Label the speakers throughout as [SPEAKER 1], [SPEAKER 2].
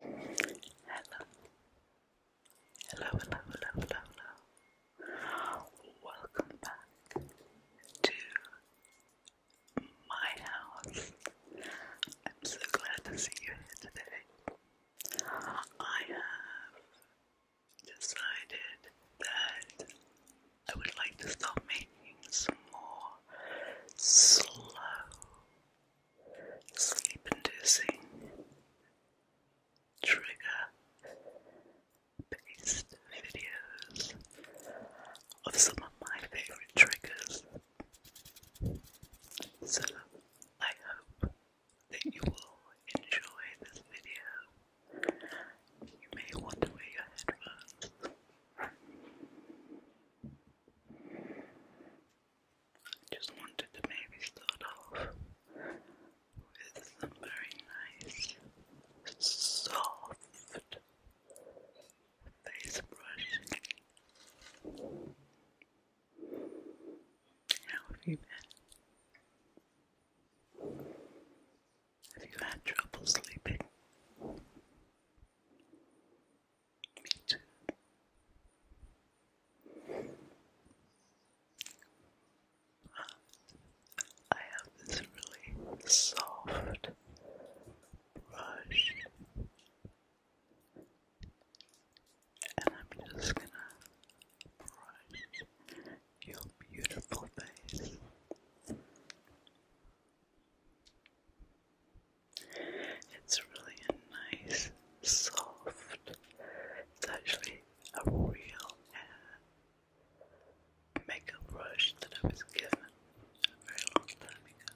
[SPEAKER 1] Hello. Hello, hello, hello, hello, Welcome back to my house. I'm so glad to see you here today. I have decided that I would like to start making some more slow sleep inducing trigger based videos of some of my favourite triggers. So I hope that you will enjoy this video. You may want to wear your headphones. I Just wanted to maybe start off with some very nice, soft face brushing. How have you been? Have you had trouble sleeping? Me too. I have this really soft brush, and I'm just gonna brush your beautiful face. It's really nice, soft, it's actually a real makeup brush that I was given a very long time ago.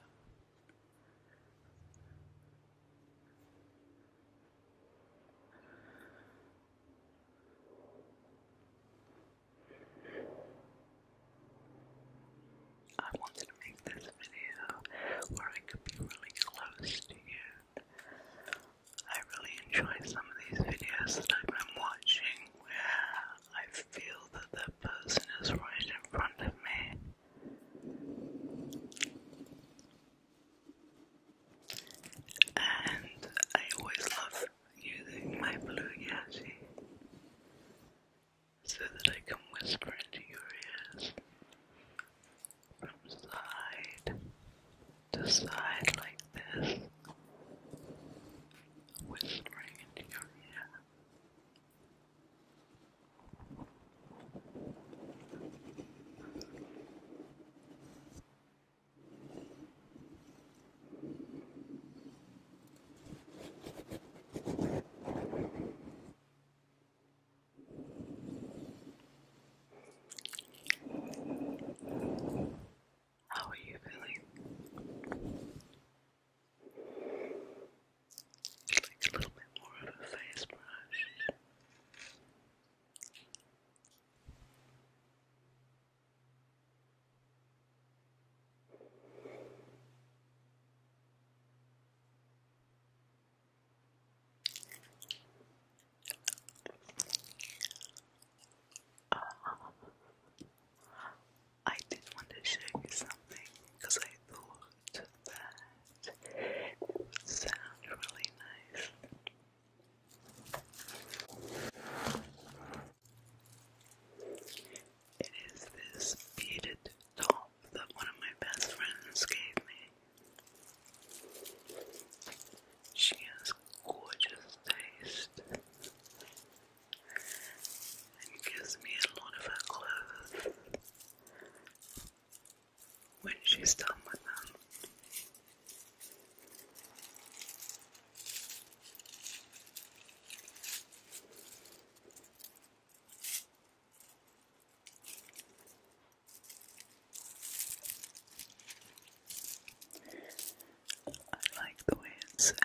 [SPEAKER 1] I wanted to make this video where I could be really close to you. I really enjoy some of these videos that I've been watching where I feel that the person is right in front of me. And I always love using my Blue Yeti so that I can whisper into your ears from side to side like this, whispering into your ear. How are you feeling? Just like a little bit more of a face brush. I did want to show you something because I thought that it would sound really nice. It is this beaded doll that one of my best friends gave me. She has gorgeous taste and gives me a lot of her clothes when she's done with them. I like the way it sounds.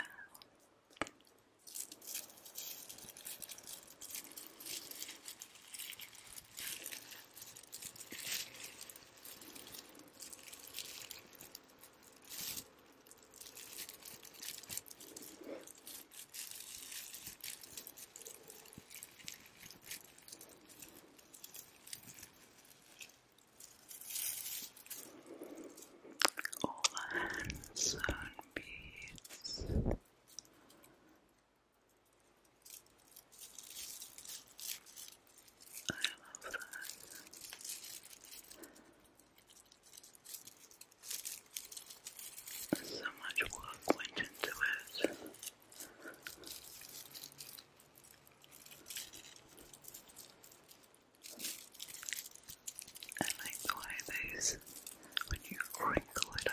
[SPEAKER 1] All hands and beads. I love that. So much work went into it. I like the way these, when you wrinkle it up,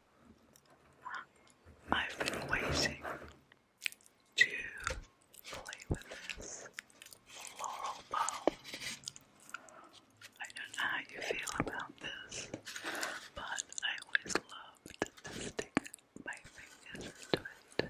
[SPEAKER 1] I've been waiting to play with this floral balm. I don't know how you feel about this, but I always loved to my fingers into it.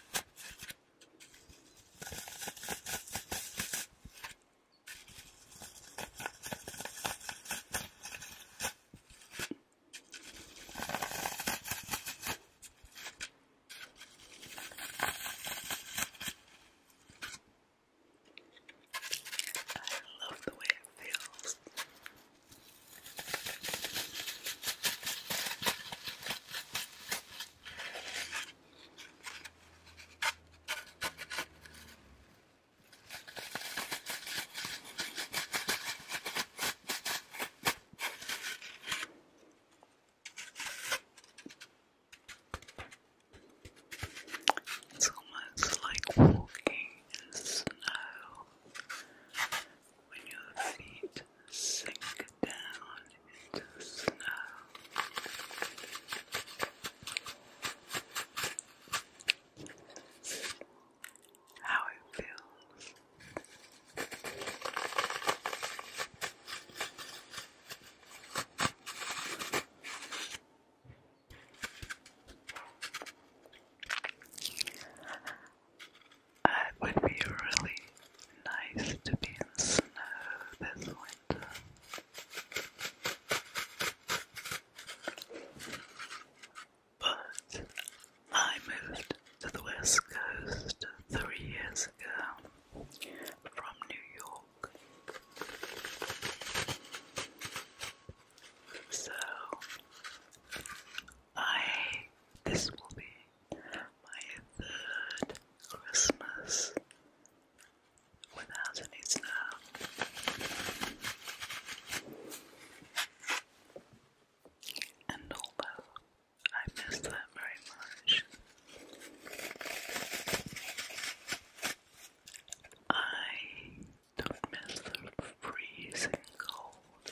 [SPEAKER 1] I love the way it feels. It's almost like walking in snow when your feet sink down into the snow. How it feels. It would be really nice to be in snow this winter. But I moved to the West Coast three years ago from New York. So I this will be my third Christmas without any snow. And although I miss that very much, I don't miss the freezing cold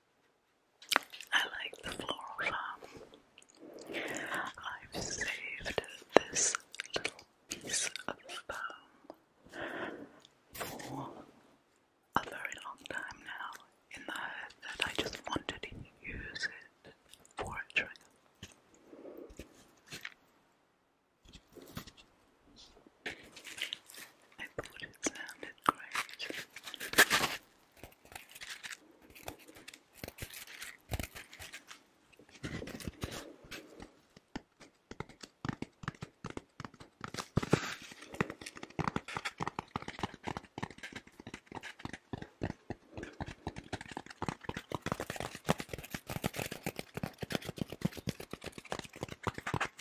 [SPEAKER 1] I like the floral farm. I've saved this little piece of foam for a very long time now, in the hope that I just wanted to use it for a trigger. I thought it sounded great.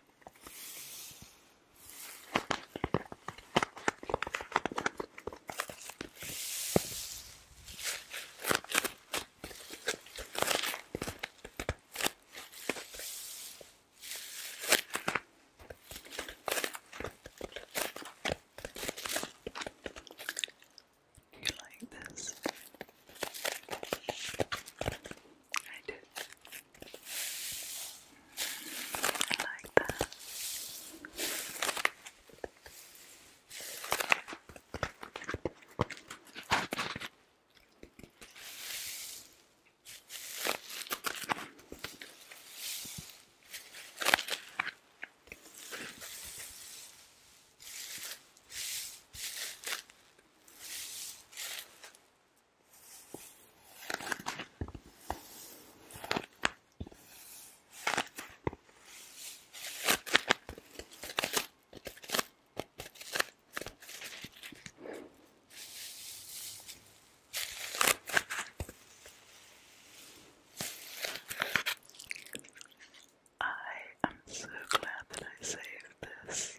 [SPEAKER 1] You like this? I do. I like that. I am so glad that I saved this.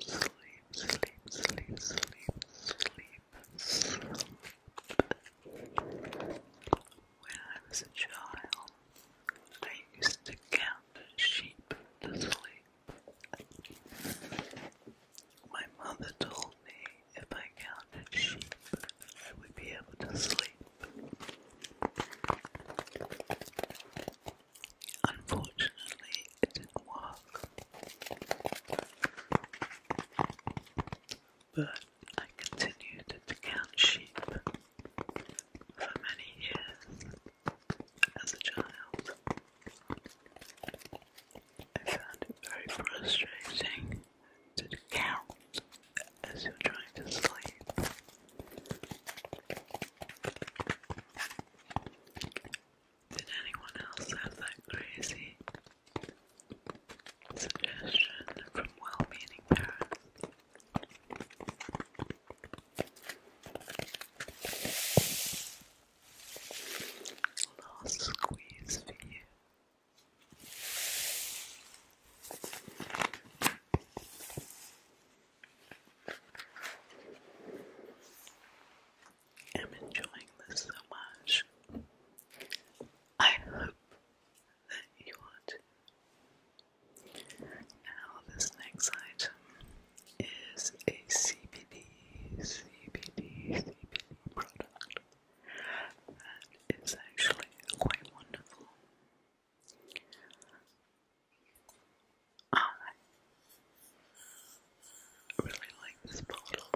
[SPEAKER 1] sleep, sleep, sleep, sleep, sleep. When I was a child, I used to count sheep to sleep. My mother told me if I counted sheep, I would be able to sleep. Unfortunately, it didn't work. But I continued to count sheep for many years as a child. I found it very frustrating to count as you're trying to sleep. Did anyone else have that crazy suggestion from well meaning parents? Last squeeze for you i am enjoying this so much. I hope that you are Now, this next item is a CBD, CBD, CBD product that is actually quite wonderful. I really like this bottle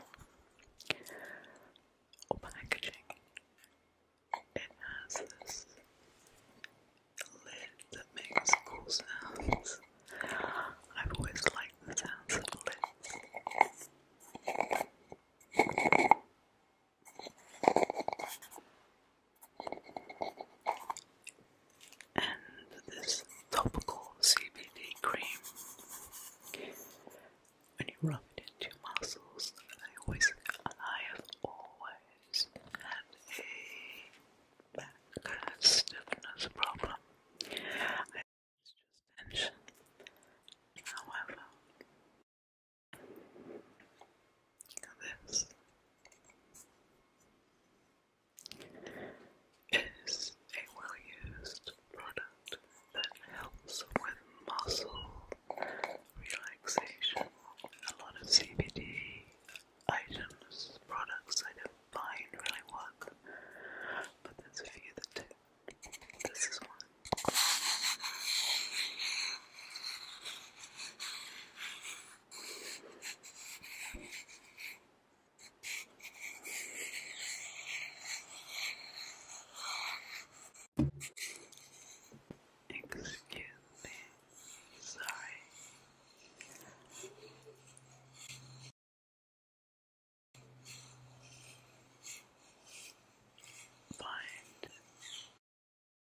[SPEAKER 1] or packaging. It has this lid that makes cool sounds. I've always liked the sounds of lids and this topical CBD cream. When you rub it into your muscles, I always, I have always had a back stiffness problem. I just tension. However, this is a well-used product that helps with muscle relaxation. A lot of CBD items, products I don't find really work, but there's a few that do. This is one.
[SPEAKER 2] Excuse me, sorry. Find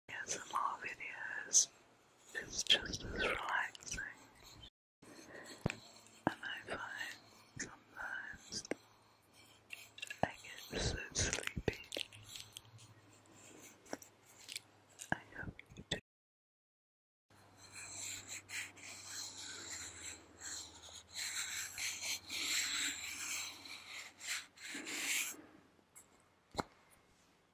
[SPEAKER 2] ASMR videos is just as relaxing and I find sometimes I get so sleepy. I hope you do.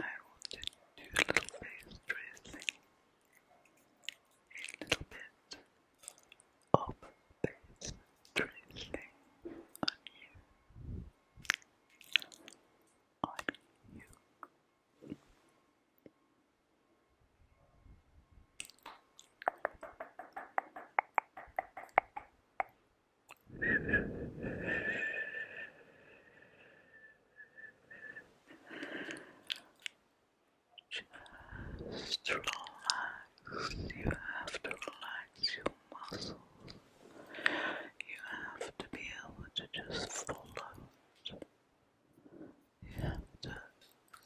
[SPEAKER 2] I want to do a little face tracing, a little bit of face
[SPEAKER 1] tracing on you, on you. Just relax. You have to relax your muscles. You have to be able to just follow it. You have to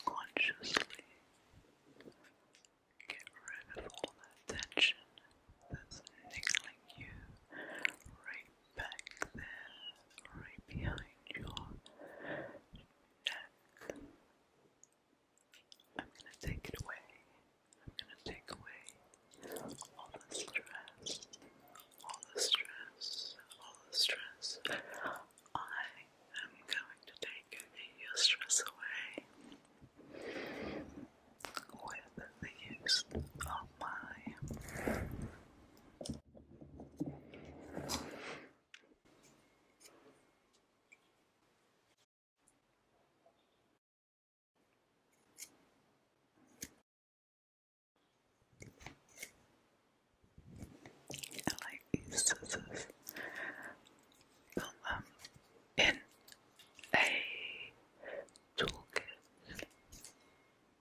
[SPEAKER 1] consciously get rid of all that tension that's niggling you right back there, right behind your neck. I'm gonna take it away. I'm gonna take away all the stress, all the stress, all the stress. I am going to take your stress away with the use of my I like these scissors. Got them in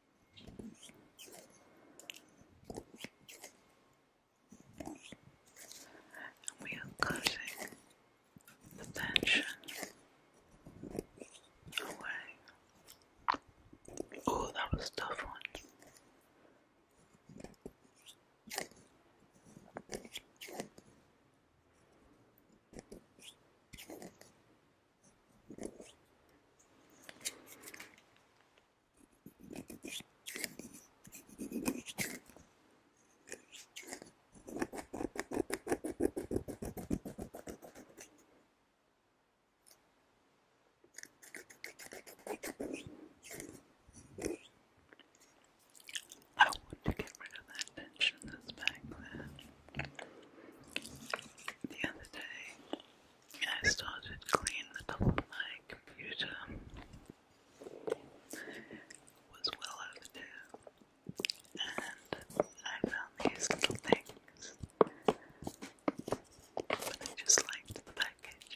[SPEAKER 1] and we are cutting the tension away. Oh, that was tough one. I want to get rid of that tension that's back there. The other day, I started cleaning the top of my computer. Was well overdue, and I found these little things, but I just liked the package.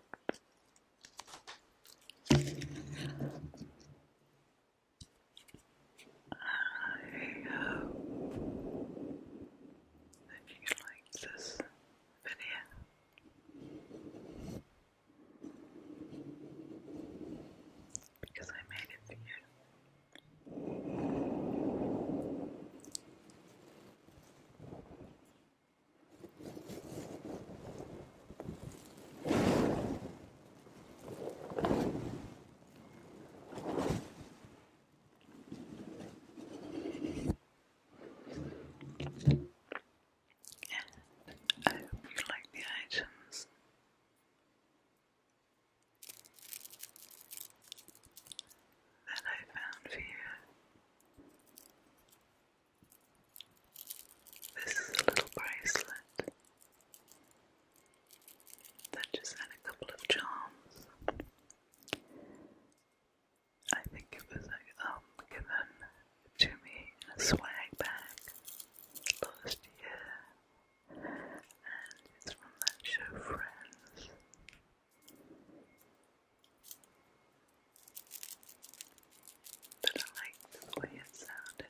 [SPEAKER 1] hope that you like this video because I made it for you. And I hope you like the items. That I found for you. This is a little bracelet that just had a couple of charms. I think it was um, given to me in swag bag last year, and it's from that show Friends. But I like the way it sounded.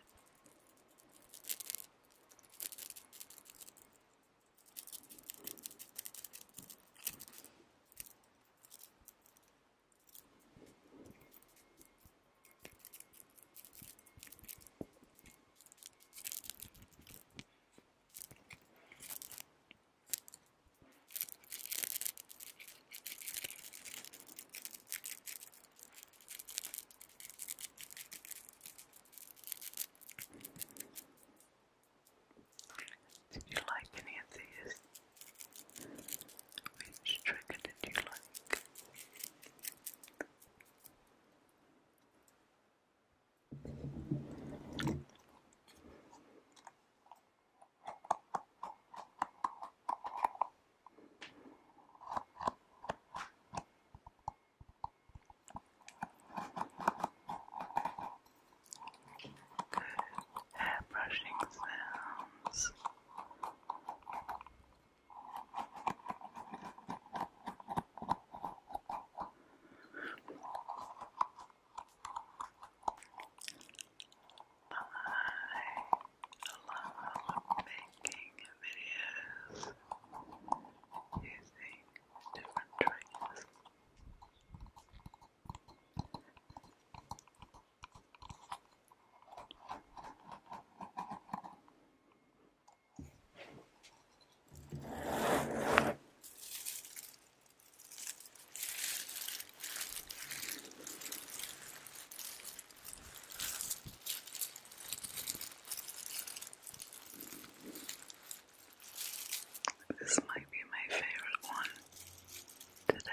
[SPEAKER 1] Did you like any of these? Which trigger did you like? hair brushing sounds. I love making videos using different triggers. This might be my favorite one today.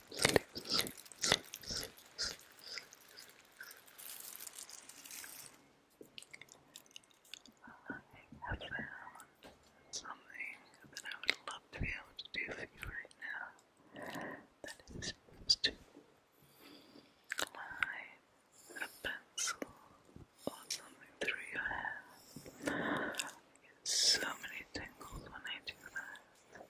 [SPEAKER 1] I have found something that I would love to be able to do for you right now. That is to glide a pencil or something through your hair. I get so many tingles when I do that.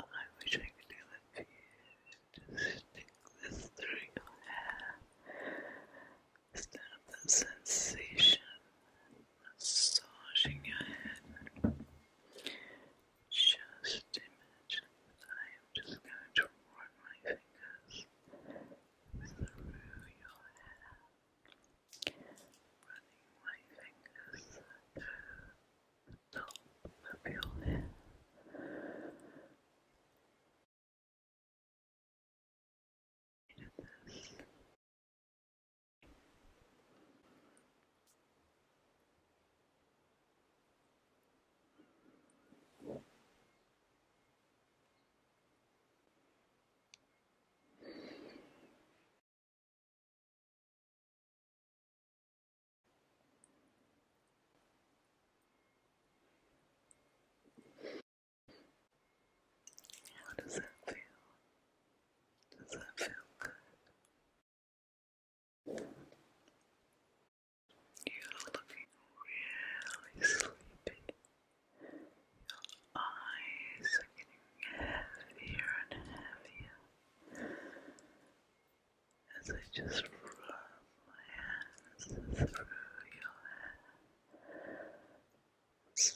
[SPEAKER 1] I wish I could do that you. Just stick this through your hair. Instead of sensation massaging your head. Just imagine that I just going to rub my fingers through your hair, running my fingers through the top of your hair. How does that feel? Does that feel good? You're looking really sleepy. Your eyes are getting heavier and heavier as I just rub my hands through your hair, massaging, just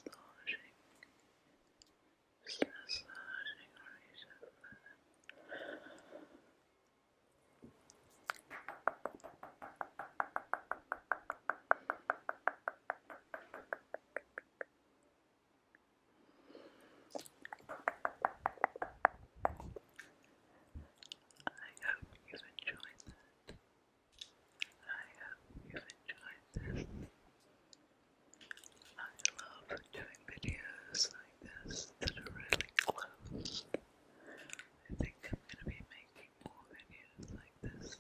[SPEAKER 1] hope you've enjoyed that. I hope you've enjoyed this. I love doing videos like this that are really close. I think I'm gonna be making more videos like this.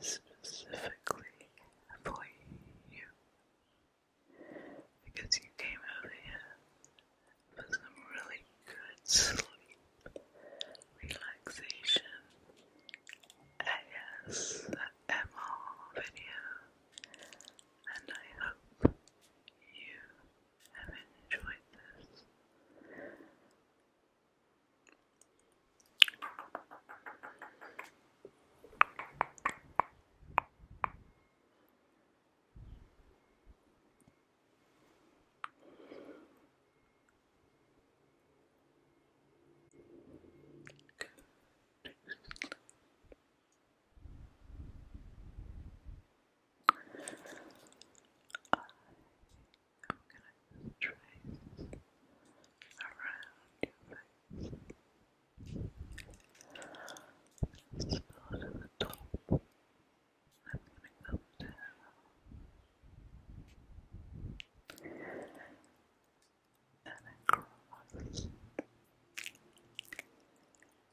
[SPEAKER 1] Specifically for you. Because you came over here for some really good sleep, relaxation, ASMR video, and I hope you have enjoyed this. I am going to trace around your face. Start at the top. I'm going to come down. And across.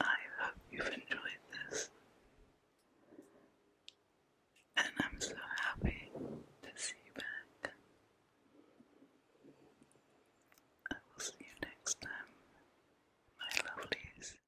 [SPEAKER 1] I hope you've enjoyed this, and I'm so happy to see you back.
[SPEAKER 2] I will see you next time, my lovelies.